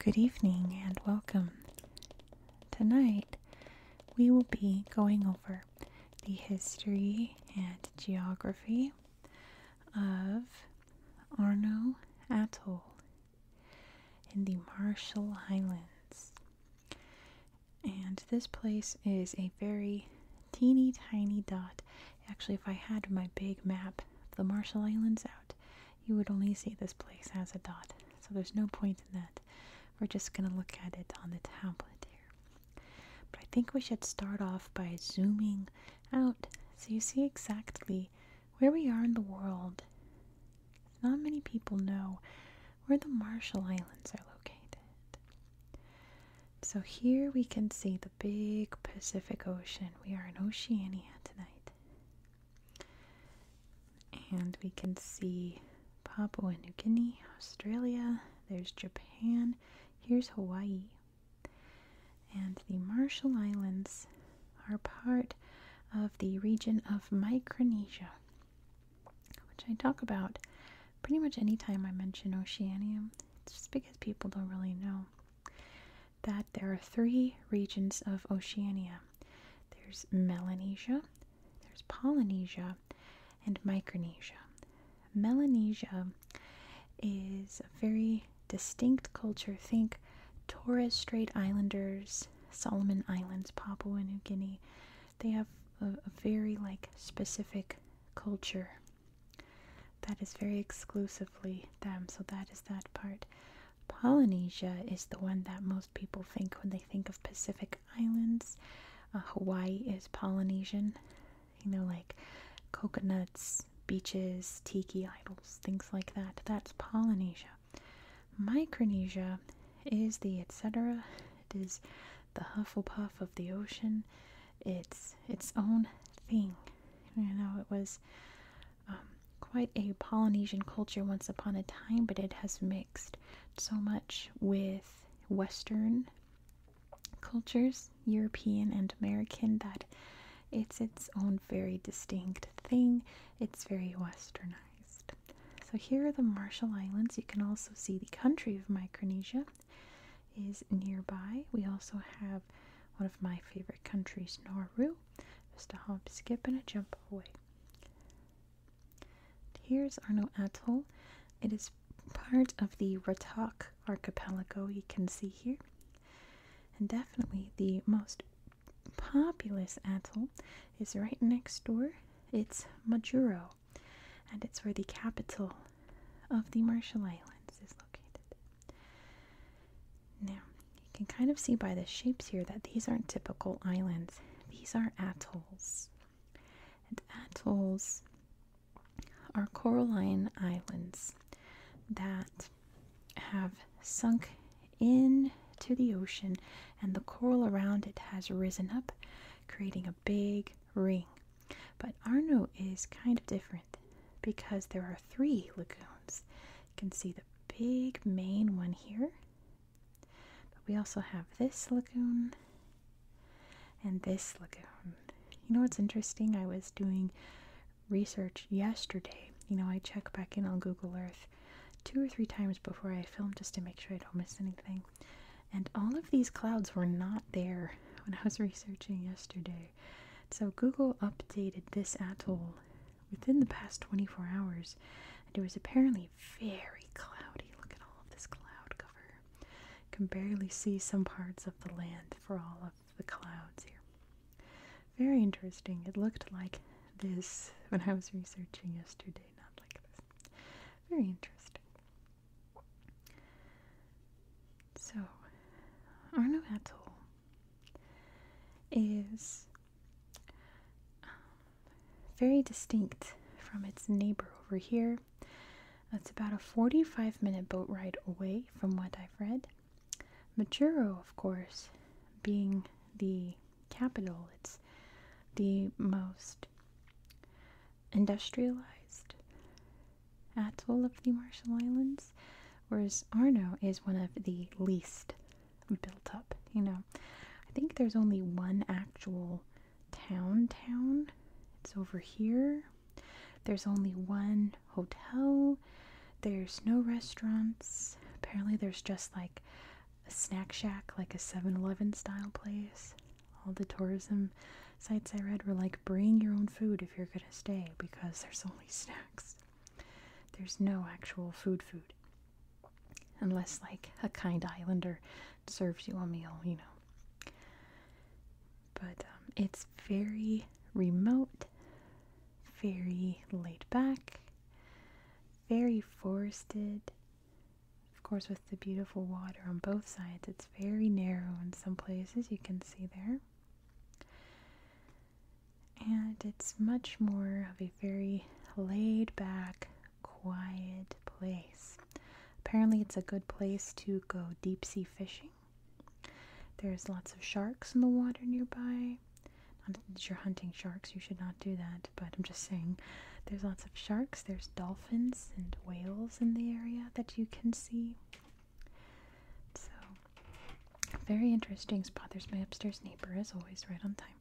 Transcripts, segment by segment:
Good evening and welcome. Tonight we will be going over the history and geography of Arno Atoll in the Marshall Islands. And this place is a very teeny tiny dot. Actually, if I had my big map of the Marshall Islands out, you would only see this place as a dot. So there's no point in that. We're just going to look at it on the tablet here. But I think we should start off by zooming out so you see exactly where we are in the world. Not many people know where the Marshall Islands are located. So here we can see the big Pacific Ocean. We are in Oceania tonight and we can see Papua New Guinea, Australia, there's Japan, here's Hawaii. And the Marshall Islands are part of the region of Micronesia, which I talk about pretty much any time I mention Oceania. It's just because people don't really know that there are three regions of Oceania there's Melanesia, there's Polynesia and Micronesia. Melanesia is a very distinct culture. Think Torres Strait Islanders, Solomon Islands, Papua New Guinea. They have a, very like specific culture that is very exclusively them. So that is that part. Polynesia is the one that most people think when they think of Pacific Islands. Uh, Hawaii is Polynesian, you know, like coconuts, beaches, tiki idols, things like that. That's Polynesia. Micronesia is the etc. It is the Hufflepuff of the ocean. It's its own thing. You know, it was um, quite a Polynesian culture once upon a time, but it has mixed so much with Western cultures, European and American, that it's its own very distinct thing. It's very westernized. So here are the Marshall Islands. You can also see the country of Micronesia is nearby. We also have one of my favorite countries, Nauru. Just a hop, skip, and a jump away. Here's Arno Atoll. It is part of the Ratak archipelago you can see here. And definitely the most populous atoll is right next door. It's Majuro, and it's where the capital of the Marshall Islands is located. Now, you can kind of see by the shapes here that these aren't typical islands. These are atolls. And atolls are coralline islands that have sunk into the ocean and the coral around it has risen up, creating a big ring. But Arno is kind of different because there are three lagoons. You can see the big main one here but we also have this lagoon and this lagoon. You know what's interesting? I was doing research yesterday. You know, I check back in on Google Earth two or three times before I film just to make sure I don't miss anything. And all of these clouds were not there when I was researching yesterday. So Google updated this atoll within the past 24 hours, and it was apparently very cloudy. Look at all of this cloud cover. You can barely see some parts of the land for all of the clouds here. Very interesting. It looked like this when I was researching yesterday, not like this. Very interesting. So, Arno Atoll is um, very distinct from its neighbor over here. That's about a 45 minute boat ride away from what I've read. Maturo, of course, being the capital, it's the most industrialized atoll of the Marshall Islands, whereas Arno is one of the least built up, you know. I think there's only one actual town town. It's over here. There's only one hotel. There's no restaurants. Apparently there's just like a snack shack, like a 7-Eleven style place. All the tourism sites I read were like bring your own food if you're gonna stay because there's only snacks. There's no actual food food. Unless, like, a kind islander serves you a meal, you know. But um, it's very remote, very laid back, very forested. Of course, with the beautiful water on both sides, it's very narrow in some places, you can see there and it's much more of a very laid back, quiet place. Apparently, it's a good place to go deep sea fishing. There's lots of sharks in the water nearby. Not that you're hunting sharks, you should not do that, but I'm just saying there's lots of sharks, there's dolphins and whales in the area that you can see. So, very interesting spot. There's my upstairs neighbor, as always, right on time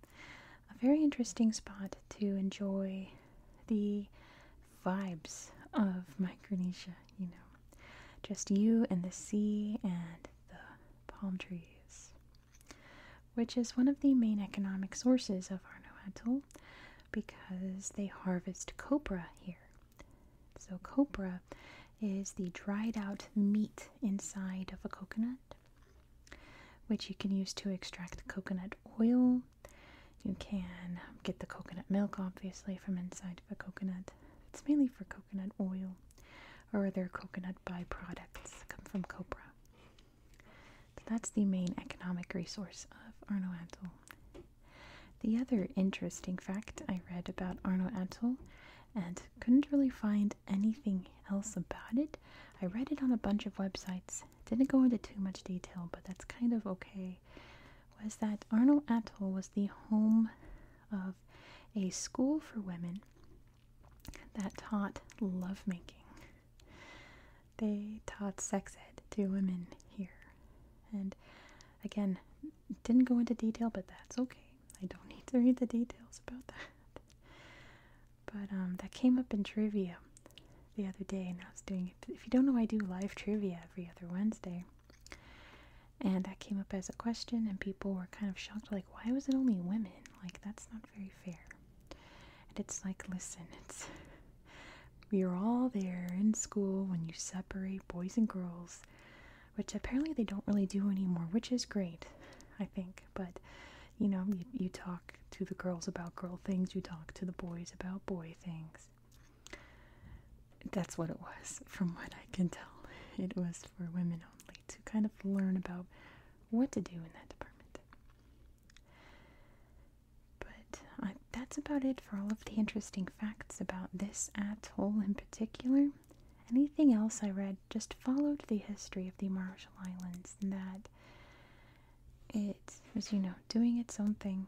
a very interesting spot to enjoy the vibes of Micronesia, you know. Just you and the sea and the palm trees, which is one of the main economic sources of Arnauatul because they harvest copra here. So, copra is the dried out meat inside of a coconut which you can use to extract coconut oil. You can get the coconut milk, obviously, from inside of a coconut. It's mainly for coconut oil or other coconut byproducts that come from copra. that's the main economic resource of Arno Atoll. The other interesting fact I read about Arno Atoll and couldn't really find anything else about it. I read it on a bunch of websites. Didn't go into too much detail, but that's kind of okay. Was that Arno Atoll was the home of a school for women that taught lovemaking. They taught sex ed to women here. And again, didn't go into detail, but that's okay. I don't need to read the details about that. But um, that came up in trivia the other day, and I was doing it. If you don't know, I do live trivia every other Wednesday. And that came up as a question, and people were kind of shocked like, why was it only women? Like, that's not very fair. And it's like, listen, it's. You're all there in school when you separate boys and girls, which apparently they don't really do anymore, which is great, I think but you know, you, talk to the girls about girl things, you talk to the boys about boy things. That's what it was, from what I can tell. It was for women only to kind of learn about what to do in that department. But uh, that's about it for all of the interesting facts about this atoll in particular anything else I read just followed the history of the Marshall Islands and that it was, you know, doing its own thing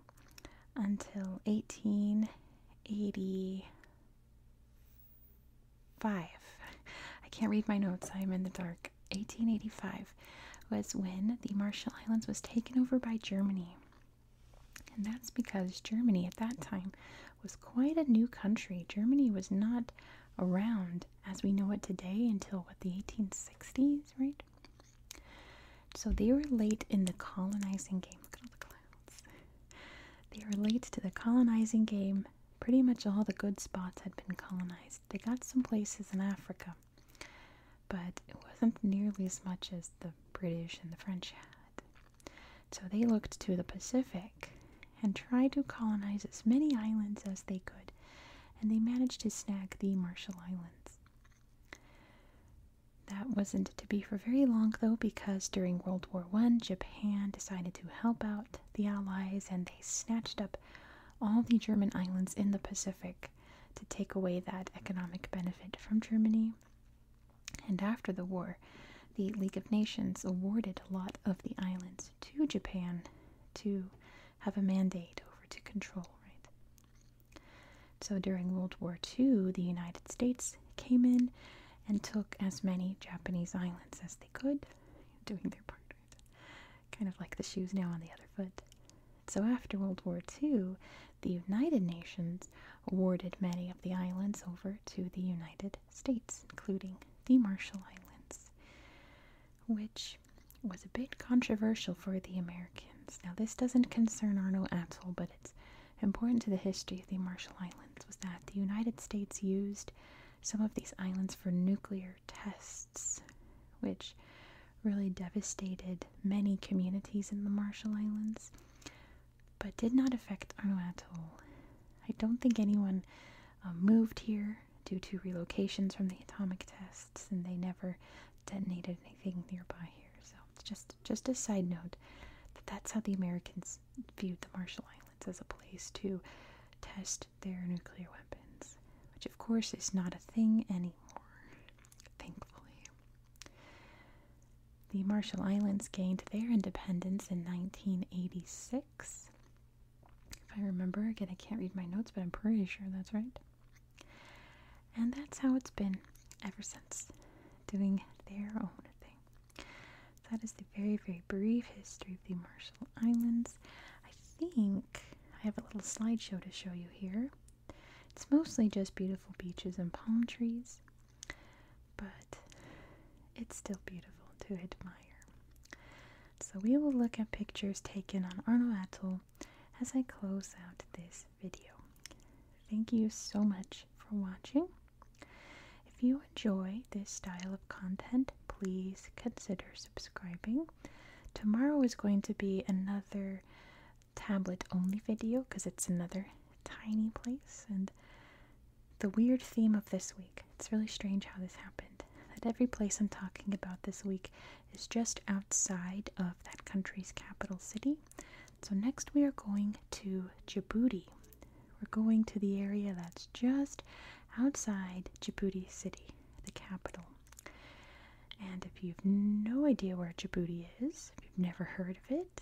until 1885. I can't read my notes, I am in the dark. 1885 was when the Marshall Islands was taken over by Germany. And that's because Germany at that time was quite a new country. Germany was not around as we know it today until what the 1860s, right? So they were late in the colonizing game. Look at all the clouds. They were late to the colonizing game. Pretty much all the good spots had been colonized. They got some places in Africa, but it wasn't nearly as much as the British and the French had. So they looked to the Pacific and tried to colonize as many islands as they could, and they managed to snag the Marshall Islands. That wasn't to be for very long, though, because during World War I, Japan decided to help out the Allies and they snatched up all the German islands in the Pacific to take away that economic benefit from Germany. And after the war, the League of Nations awarded a lot of the islands to Japan to have a mandate over to control, right? So during World War II, the United States came in and took as many Japanese islands as they could, doing their part. Kind of like the shoes now on the other foot. So after World War II, the United Nations awarded many of the islands over to the United states, including the Marshall Islands, which was a bit controversial for the Americans. Now, this doesn't concern Arno Atoll, but it's important to the history of the Marshall Islands was that the United States used some of these islands for nuclear tests, which really devastated many communities in the Marshall Islands, but did not affect Arno Atoll. I don't think anyone um, moved here due to relocations from the atomic tests, and they never detonated anything nearby here. So it's just just a side note that that's how the Americans viewed the Marshall Islands as a place to test their nuclear weapons, which of course is not a thing anymore, thankfully. The Marshall Islands gained their independence in 1986 if I remember, again, I can't read my notes, but I'm pretty sure that's right. And that's how it's been ever since, doing their own thing. that is the very, very brief history of the Marshall Islands. I think I have a little slideshow to show you here. It's mostly just beautiful beaches and palm trees but it's still beautiful to admire. So we will look at pictures taken on Arno Atoll as I close out this video. Thank you so much for watching. If you enjoy this style of content, please consider subscribing. Tomorrow is going to be another tablet only video because it's another tiny place and the weird theme of this week it's really strange how this happened. That every place I'm talking about this week is just outside of that country's capital city. So, next we are going to Djibouti. We're going to the area that's just outside Djibouti City, the capital. And if you've no idea where Djibouti is, if you've never heard of it,